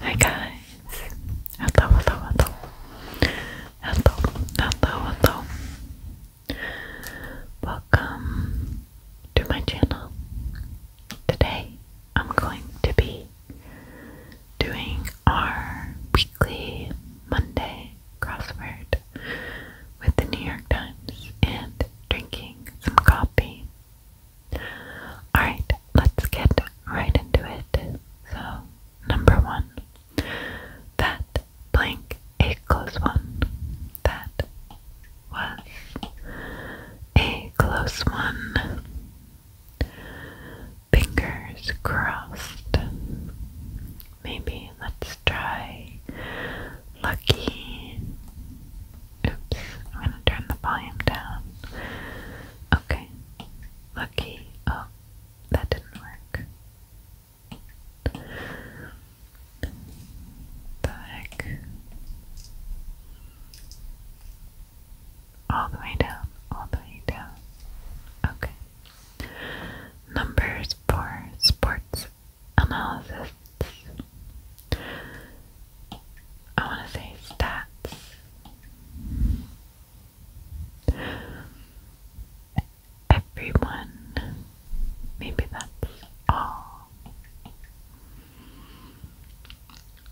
Hi guys! Hello, hello, hello. Hello, hello, hello. Welcome to my channel. Today I'm going to be doing our weekly Monday crossword with the New York Times and drinking some coffee. Alright, let's get right into it. So, number one, that blank equals one. That was a close one. Fingers crossed. Maybe let's try lucky. Oops, I'm gonna turn the volume down. Okay. Lucky. Oh, that didn't work. The All the way down, all the way down. Okay. Numbers for sports analysis. I want to say stats. Everyone. Maybe that's all.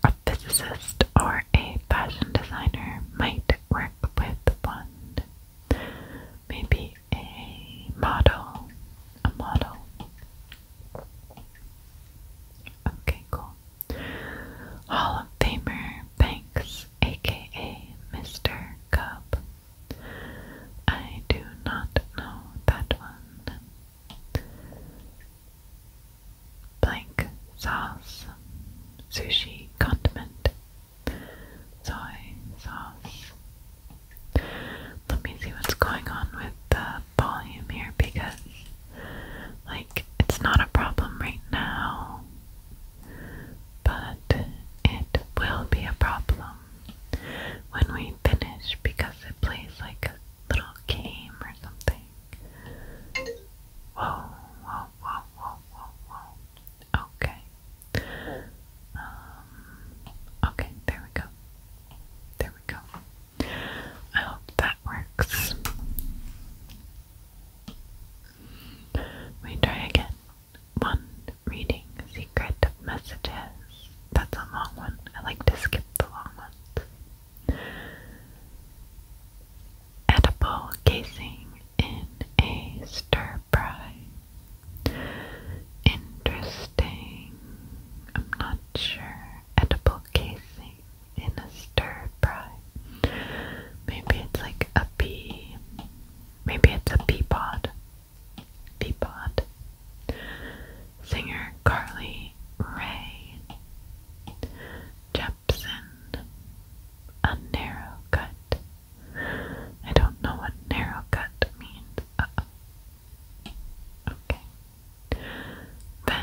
A physicist or a fashion designer might work with one. Maybe a model. A model. Okay, cool. Hall of Famer Banks, aka Mr. Cub. I do not know that one. Blank sauce, sushi condiment, soy sauce. Let me see what's going on with the volume here because, like, it's not a problem right now, but it will be a problem when we finish because it plays like a little game or something. Whoa, whoa, whoa, whoa, whoa, Okay. Um, okay, there we go. There we go. I hope that works. We try again. One reading secret messages. That's a long one. I like to skip the long ones. Edible casing in a stir fry. Interesting. I'm not sure. Edible casing in a stir fry. Maybe it's like a pea. Maybe it's a pea pod. Pea pod. Singer Carly Ray Jepson. A narrow cut. I don't know what narrow cut means. Okay. Vents.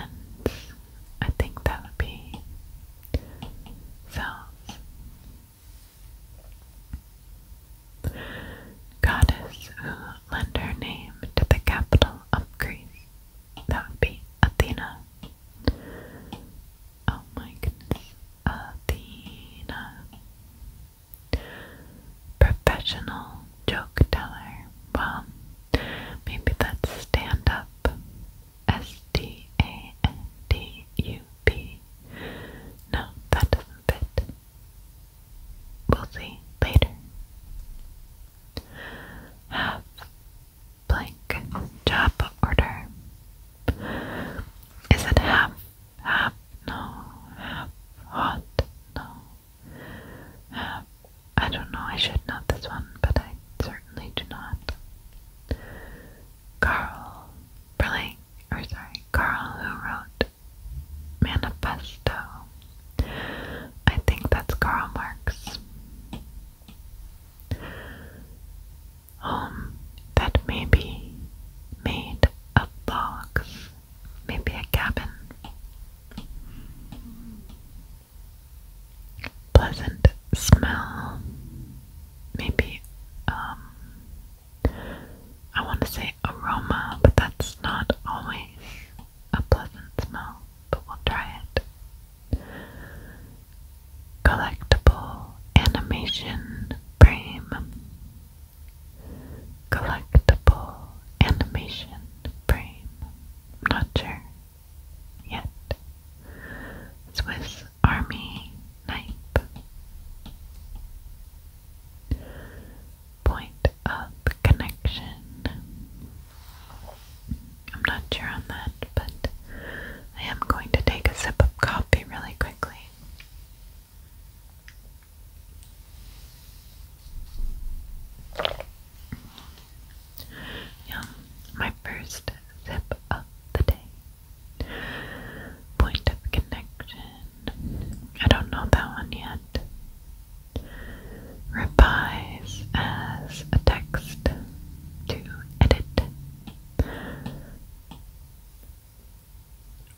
I think that would be cells. Goddess who lent her name to the capital of Greece. That would be Athena. Oh my goodness. Athena. Professional joke teller. Well, Maybe that's stand up. S D A N D U P. No, that does We'll see later. Have blank job order. Is it half? Half? No. Half hot? No. I don't know, I should not this one, but I certainly do not. Carl Burling, or sorry, Carl who wrote Manifesto. I think that's Karl Marx. Home um, that may made of logs, maybe a cabin pleasant smell. Maybe, um, I want to say aroma, but that's not always a pleasant smell, but we'll try it. Collectible animation frame. Collectible animation brain. I'm not sure yet. Swiss Army knife. Point of connection. I'm not sure on that, but I am going to take a sip of coffee really quickly. Yum, my first sip of the day. Point of connection. I don't know that one yet. Revise as a text to edit.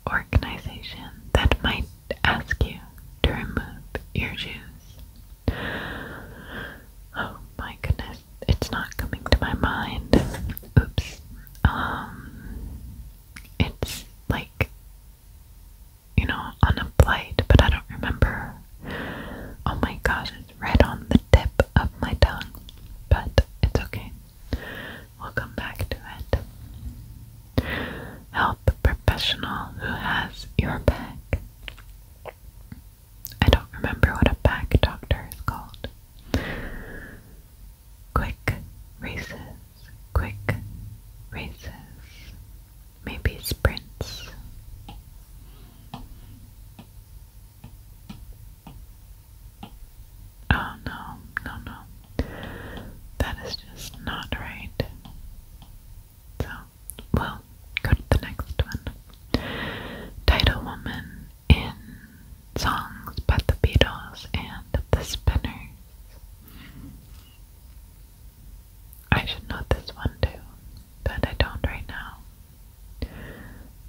Organization that might ask you to remove your shoes. Oh my goodness, it's not coming to my mind. Oops. Um, it's like, you know, on a plate, but I don't remember. Oh my gosh, it's right on the tip of my tongue, but it's okay. We'll come back to it. How top professional who has your back. I don't remember what a back doctor is called. Quick races, quick races, maybe sprints. Oh no, no, no. That is just not right. So, we go to the next one. Title Woman in songs by the Beatles and the Spinners. I should know this one too, but I don't right now.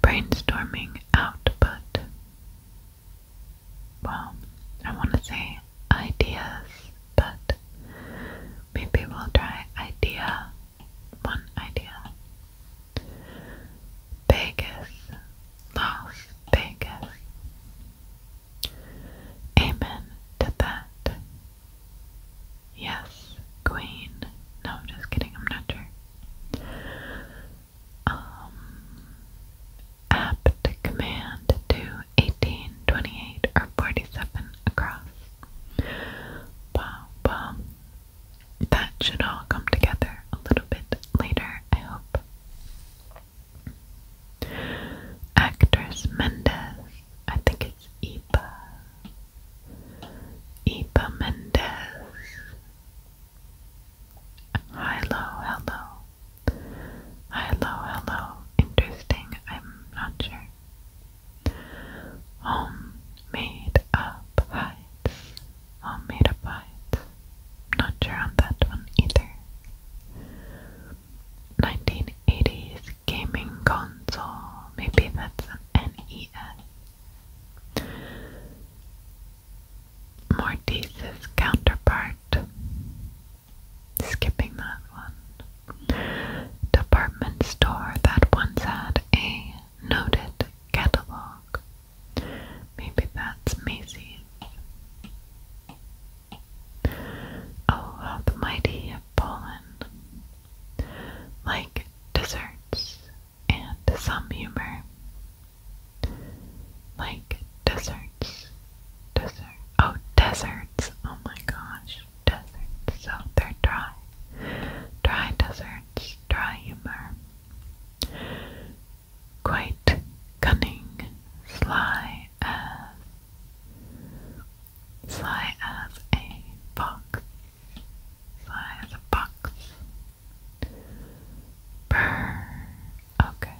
Brainstorming output. Well, I want to say ideas, but maybe we'll try idea one idea. Vegas, Las Vegas. Amen to that. Yes, Queen. No, I'm just kidding, I'm not sure. Um apt command and 2, 18, 28, or 47 across. Wow, well, that should all come together a little bit later, I hope. Actress Mendez, I think it's Ipa. Ipa Mendez. Hello, hello. Hello, hello. Interesting. I'm not sure. Homemade up heights. Homemade up heights. Not sure on that one either. 1980s gaming console. Maybe that's an NES. Mortice's counterpart skipping that one. Department store that once had a noted catalog. Maybe that's Macy's. Oh, the mighty have fallen. Like desserts and some humor. Like desserts, Desert. Oh, deserts. Oh my gosh deserts, so they're dry. Dry deserts, dry humor. Quite cunning, sly as sly as a fox. Sly as a fox. Brr. Okay.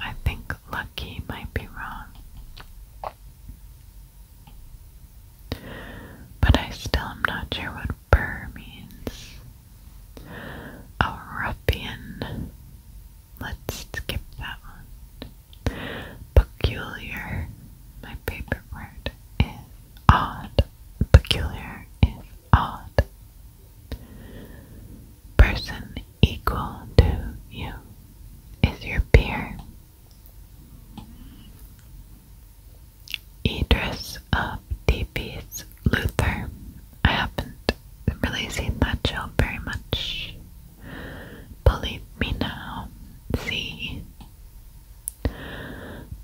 I think lucky might be wrong. But I still am not sure what burr means. Oh, A Let's skip that one. Peculiar. My favorite word is odd. Peculiar is odd person equal to you is your peer. Idris of Thebes, Luther. I haven't really seen that show very much. Believe me now. See.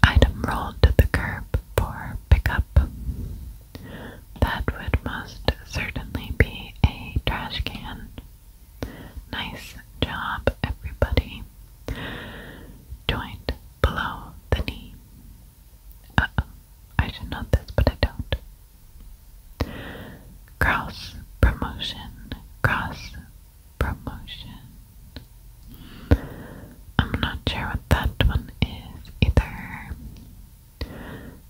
Item rolled to the curb for pickup. That would most certainly be a trash can. Nice job, everybody. Joint below the knee. Uh oh, I should know this, but I don't. Cross promotion. Cross promotion. I'm not sure what that one is either.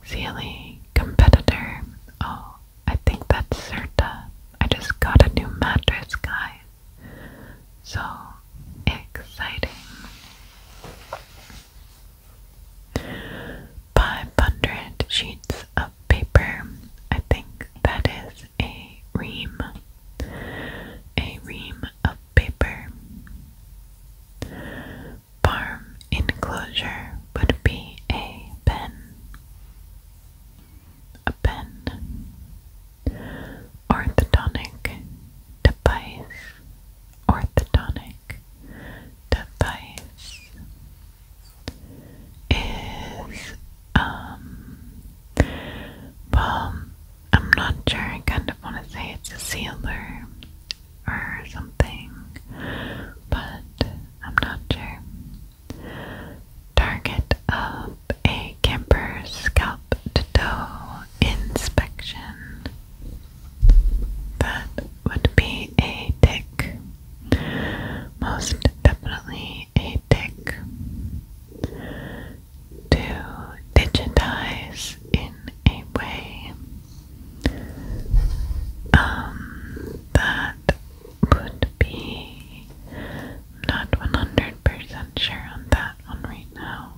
Sealy competitor. Oh, I think that's Certa. I just got a new mattress, guy. So exciting. 500 sheets of paper. I think that is a ream. A ream of paper farm enclosure would be a pen. A pen. Orthodontic device. Orthodontic device is um well I'm not sure I kind of want to say a sealer or something, but I'm not sure. Target of a camper scalp to inspection. That would be a tick. Most definitely a tick. To digitize in a way um, that would be I'm not 100% sure on that one right now.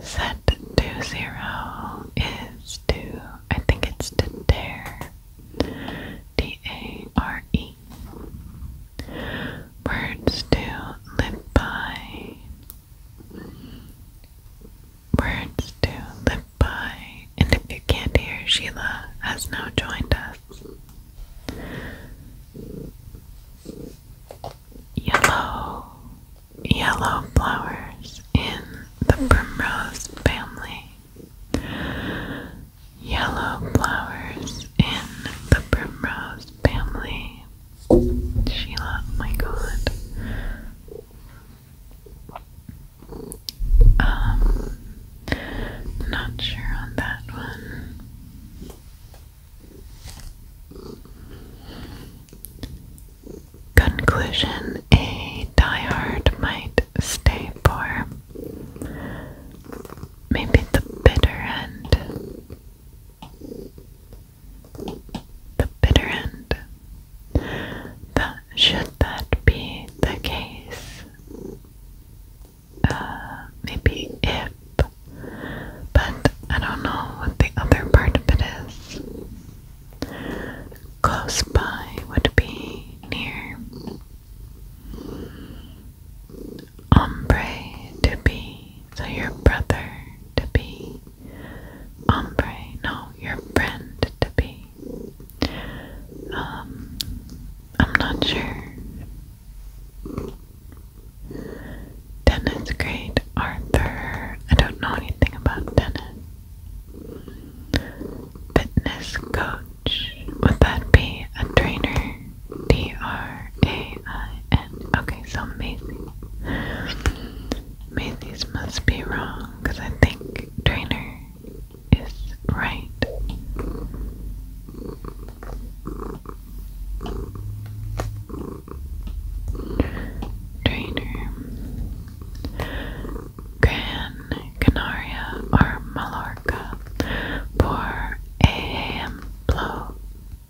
Set to zero is to, I think it's to dare. D A R E. Words to live by words to live by, and if you can't hear, Sheila has now joined us. Yellow, yellow flowers in the primrose family. Yellow flowers in the primrose family. Sheila, oh my god. Um, not sure on that one. Conclusion A diehard might stay for maybe the bitter end the bitter end. That, should that be the case? Uh, maybe if, but I don't know what the other part of it is. Close by would be near. Hombre to be, so your brother to be. Ombre, no, your friend to be. Um, I'm not sure. Dennis, great Arthur. I don't know anything about Dennis. Fitness coach. Would that be a trainer? D R A I N. Okay, so amazing. I mean, these must be wrong because I think trainer is right. Trainer Gran Canaria or Mallorca por ejemplo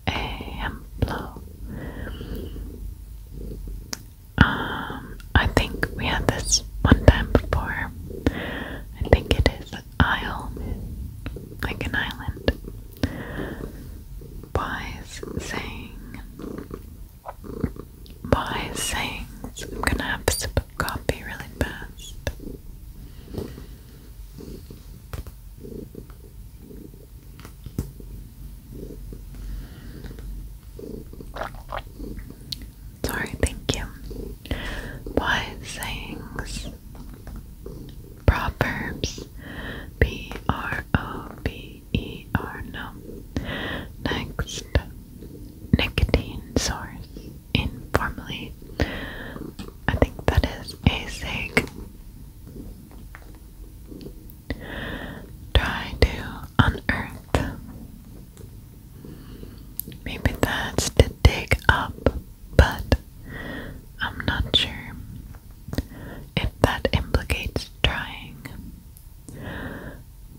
ejemplo um, I think we had this one time before. I think it is Isle, like an island. Wise saying, wise sayings. I'm gonna have a sip of coffee really fast. Sorry, thank you. Wise sayings, proverbs, P R O B E R. Next, nicotine source, informally. I think that is a sig try to unearth. Maybe that's to dig up, but I'm not sure if that implicates trying.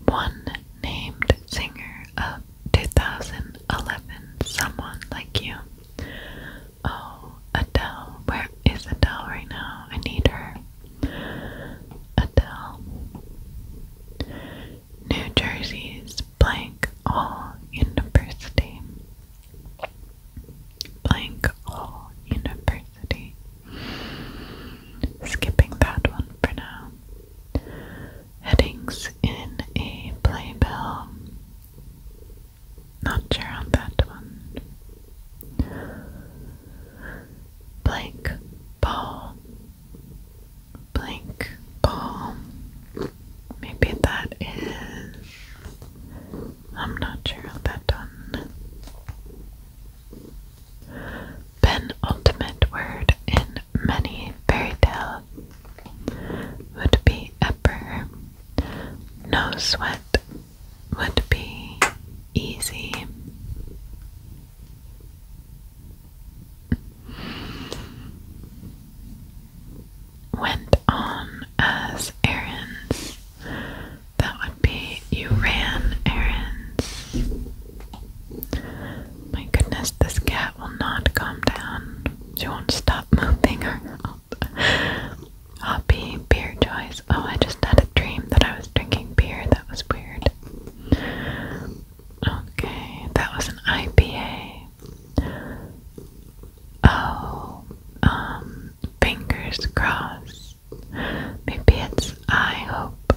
One named singer of 2011, Someone Like You. Oh, Adele, where is Adele right now? I need her. Adele. New Jersey's blank all university. Blank all university. Skipping that one for now. Headings in a playbill. Not sure on that one blank ball, blank ball. Maybe that is. I'm not sure how that done. Penultimate word in many fairy tales would be ever. No sweat, would be easy. Went on as errands. That would be you ran errands. My goodness, this cat will not calm down. She won't stop moving her Hoppy oh, beer choice. Oh, I just had a dream that I was drinking beer. That was weird. Okay, that was an IPA. Oh, um, fingers crossed. Maybe it's I hope.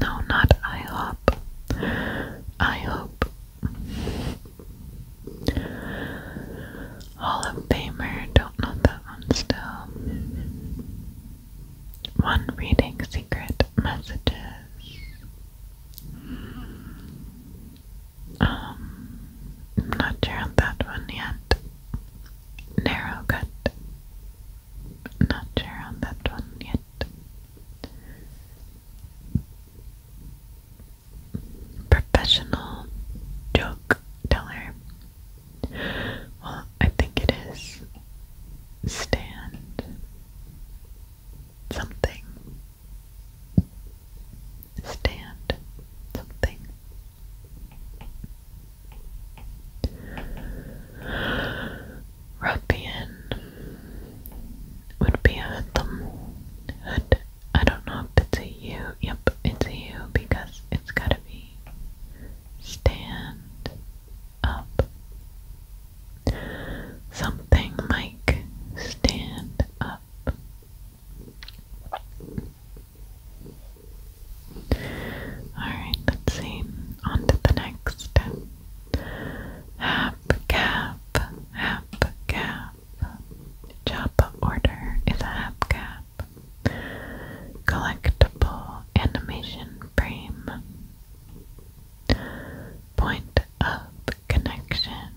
No, not I hope. I hope. Hall of Famer, don't know that one still. One reading secret messages. Um, not sure on that one yet. Narrow cut. Not sure on that one yet professional joke teller. Well, I think it is stand something. Stand something. Ruffian would be a hoodlum. Hood I don't know if it's you. Yep, it's you because it's gotta be stand up. Something Mike, stand up. Alright, let's see. On to the next. Hap, cap, hap, cap. Chop. Chop Order is a hubcap. Collectible animation frame. Point of connection.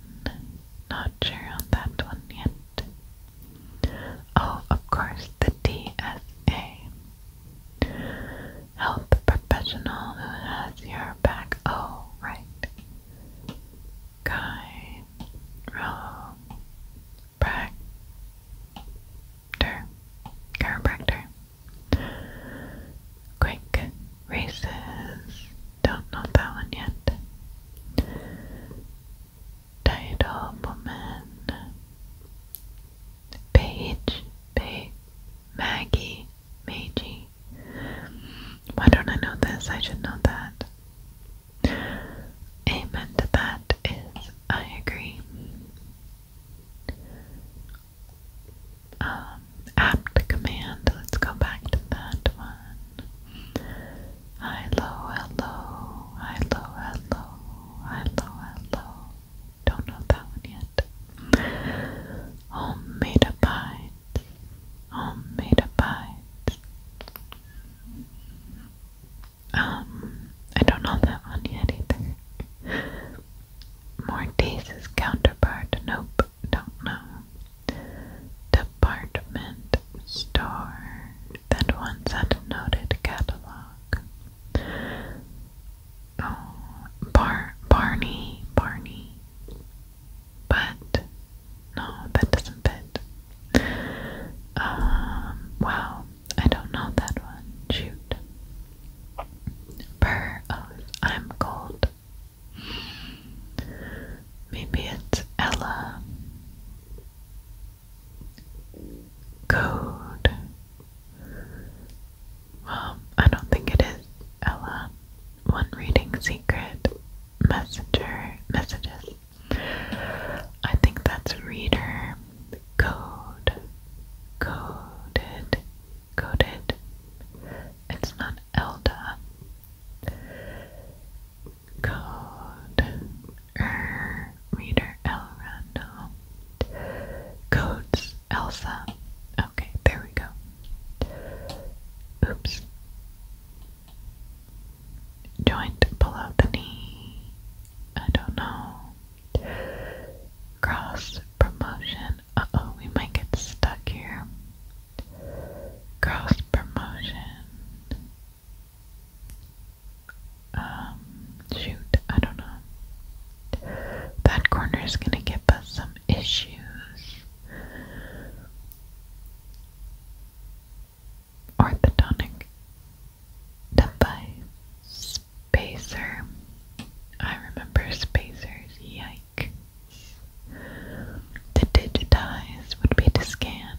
Not sure on that one yet. Oh, of course, the DSA. Health professional who has your back. Oh, right guide, roll, practor, chiropractor. Quick races. Don't know that one yet. Title woman. Page, Page, Maggie, Meiji, me. Why don't I know this? I should know that. Amen to that is I agree. Um, apt command. Let's go back to that one. Hello, hello, hello, hello, hello, hello. Don't know that one yet. Homemade pie bites, homemade abides. Um, I don't know that one yet either. Mortise's counterpart, nope, don't know. Department store, that one's had catalog. Oh, Bar Barney, Barney but no, that doesn't fit. Um, wow, I don't know that one. Shoot. Burr, oh, uh, I'm cold. Maybe it's Ella. Code. Well, I don't think it is Ella. One reading secret messenger messages. I think that's reader code coded coded. It's not Elda. Code er reader Elrando. Codes Elsa. Okay, there we go. Oops joint below the knee. I don't know. Cross promotion. Uh oh, we might get stuck here. Cross promotion. Um, shoot, I don't know. That corner is gonna give us some issues orthodontic device. Spacer. I remember spacers. Yikes. To digitize would be to scan.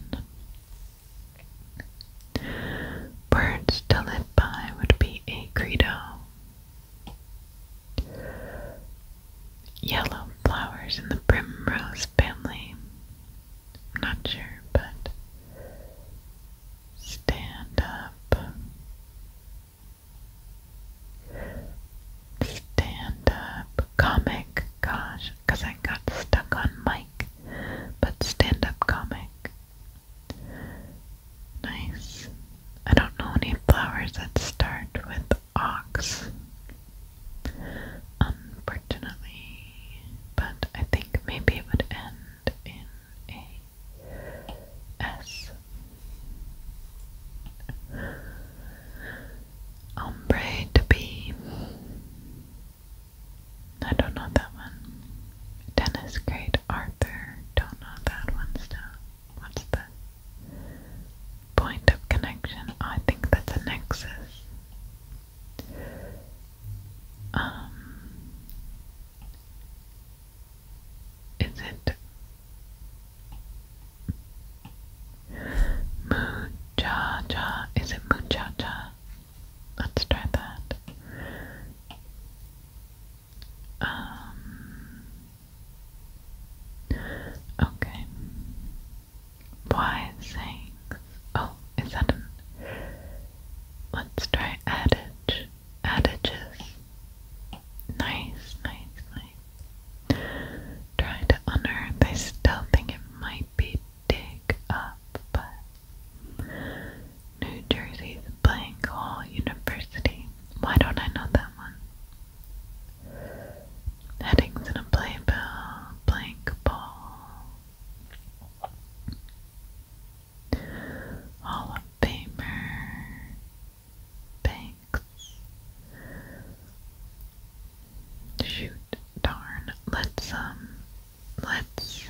Words to live by would be a credo. Yellow flowers in the primrose family. not sure, but stand up. Stand up comic. Gosh, because I got stuck on mic. But stand up comic. Nice. I don't know any flowers that start with ox unfortunately. But I think maybe it would end in a S. Ombre to be. I don't know that one. Dennis Great Arthur. Don't know that one still. What's the point of connection. I think that's a nexus. Um, is it muchacha? Is it muchacha? Let's try that. Um, Okay. Why saying? Oh, is that Let's try adage. Adages. Nice, nice, nice. Try to unearth. I still think it might be dig up, but New Jersey's blank hole university. Why don't I know that one? Headings in a play blank ball. Hall of Famer, Banks. Shoot, darn, let's, um, let's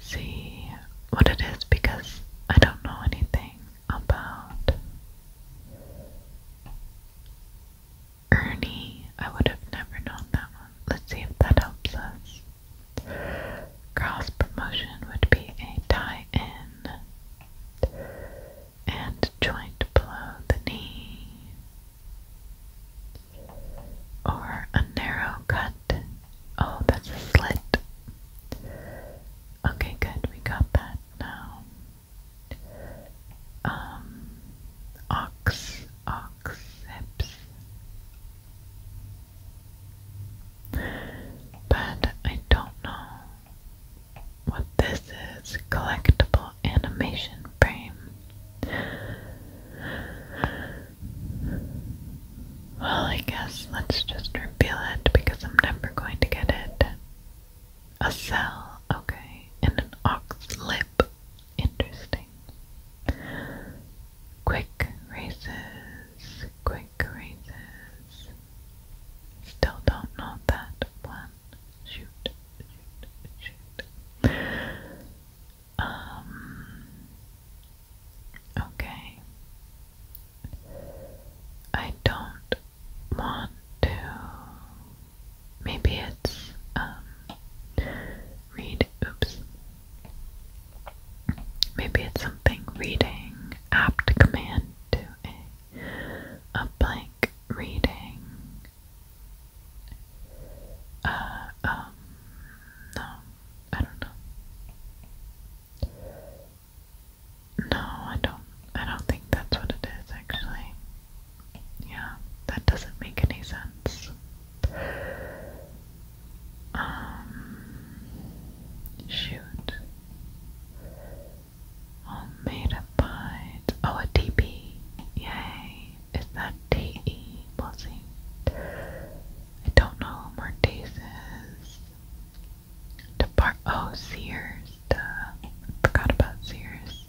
see what it is because I don't know anything about Ernie. I would have never known that one. Let's see if that helps us. Cross promotion would be a tie in and joint below the knee, or a narrow cut. Oh, that's a slit. Okay, good, we got that now um, ox, oxeps. But I don't know what this is. Collectible animation frame. Well, I guess let's just reveal it because I'm never going to get it. A cell, okay, and an ox lip. Interesting. Quick races, quick races. Still don't know that one. Shoot, shoot, shoot. Um. Okay. I don't want to. Maybe it's um read. Oops. Maybe it's something reading apt command to a a blank reading. Uh um no, I don't know. No, I don't I don't think that's what it is actually. Yeah, that doesn't make any sense. Um shoot. All made up by oh a Yay. Is that D E? We'll see. I don't know where Daze is. Depart. Oh, Sears. Duh. Forgot about Sears.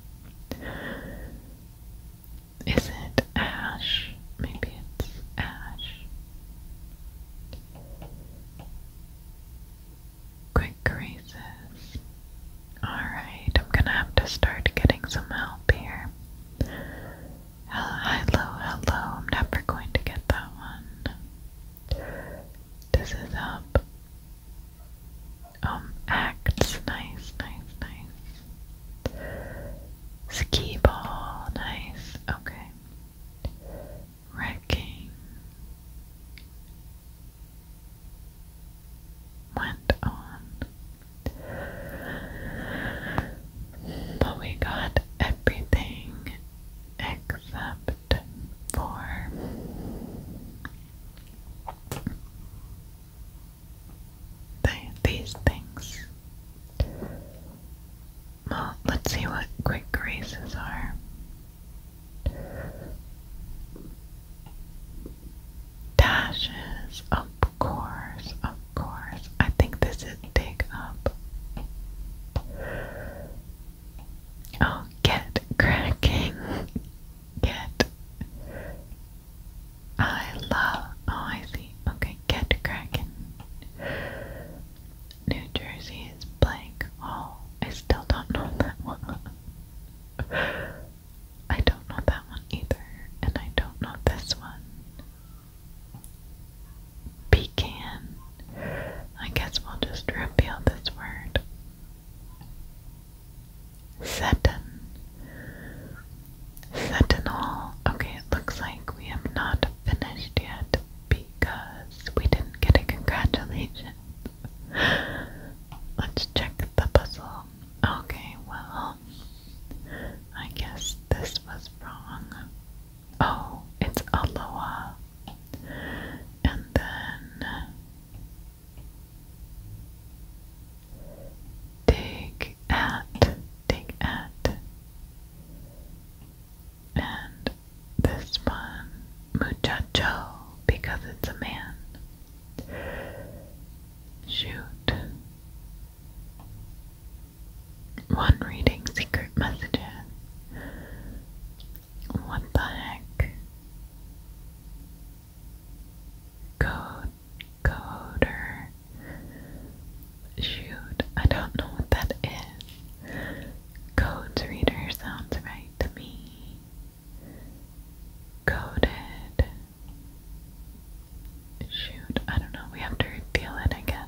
Is it Ash? Maybe it's Ash. Quick graces. Alright, I'm gonna have to start getting some help here. Hello, hello, hello. I'm never going to get that one. This is up. Um, acts. Nice, nice, nice. Ski ball. Nice. Okay. Wrecking. Went on. But we got everything except for these things. Well, let's see what quick races are. Dashes, of course, of course. I think this is dig up. Oh, get cracking. Get. I love. Oh, I see. Okay, get cracking. New Jersey is blank. Oh, I still don't know that one. I don't know that one either, and I don't know this one. Pecan. I guess we'll just reveal this word. Seton. Okay, it looks like we have not finished yet because we didn't get a congratulations. Let's check the puzzle. Okay, well, I guess this was wrong. Oh, it's Aloha and then dig at, dig at, and this one, muchacho, because it's a man. Shoot. One reading secret messages. What the heck? Code, coder. Shoot, I don't know what that is. Codes reader sounds right to me. Coded. Shoot, I don't know. We have to reveal it, I guess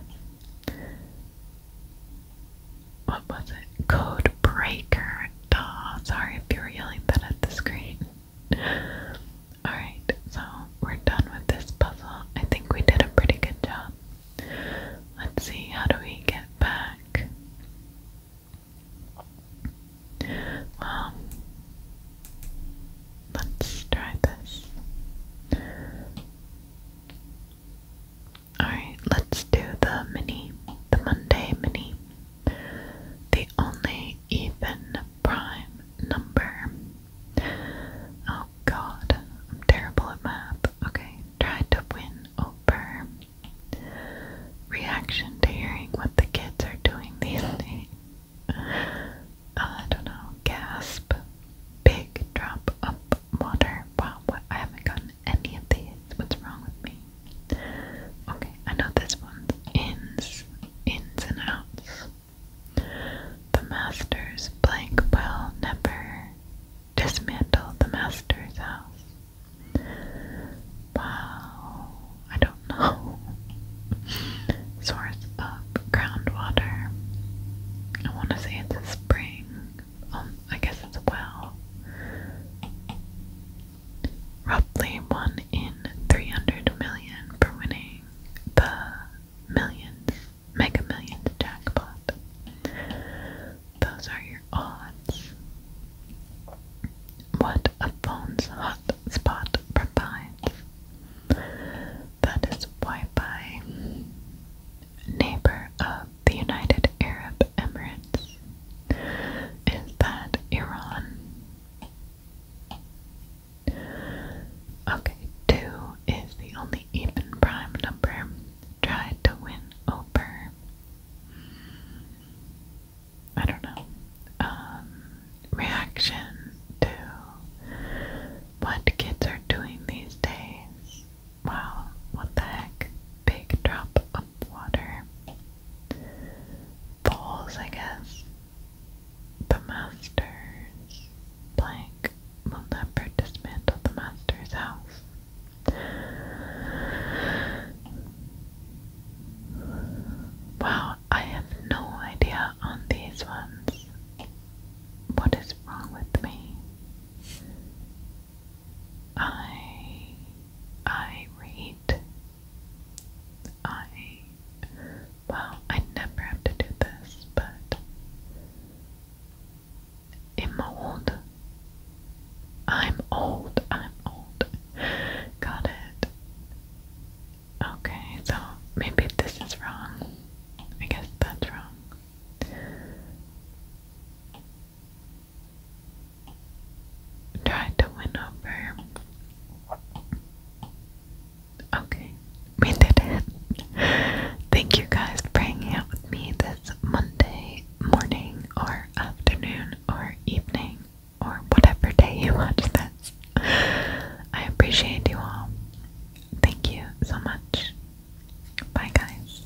what was it? Code Breaker. Duh. Sorry if you were yelling that at the screen. Alright, so we're done with this puzzle. I think we did a pretty good job. Let's see, how do we get back? Well, let's try this. Alright, let's do the mini, the Monday mini. The only even prime number. Oh god, I'm terrible at math. Okay, try to win over. Reaction to hearing what the kids are doing these days. Uh, I don't know, gasp. Big drop of water. Wow, what? I haven't gotten any of these. What's wrong with me? Okay, I know this one's ins, ins and outs. The master's blank will never dismantle the master's house. Wow, I don't know. Source of groundwater. I want to say it's a spring. Um, I guess well. Roughly one in 300 million for winning the millions, mega millions jackpot. Those are your odds. What a phone's hotspot provides. That is Wi Fi. Neighbor of the United Arab Emirates. Is that Iran? Okay, 2 is the only even prime number. Try to win over. Hmm, I don't know. Um, reaction to what kids are doing these days. Wow, what the heck? Big drop of water. Balls, I guess. The Masters. Blank will never dismantle the Master's house. Wow, I have no idea on these ones. What is wrong with me? I I read. I well, I never have to do this, but I'm old. I'm old. I'm old. Got it. Okay, so maybe this is wrong. I guess that's wrong. Try to win over. Okay, we did it. Thank you guys for hanging out with me this Monday morning or afternoon or evening or whatever day you watch this. I appreciate you all. Thank you so much. Bye, guys.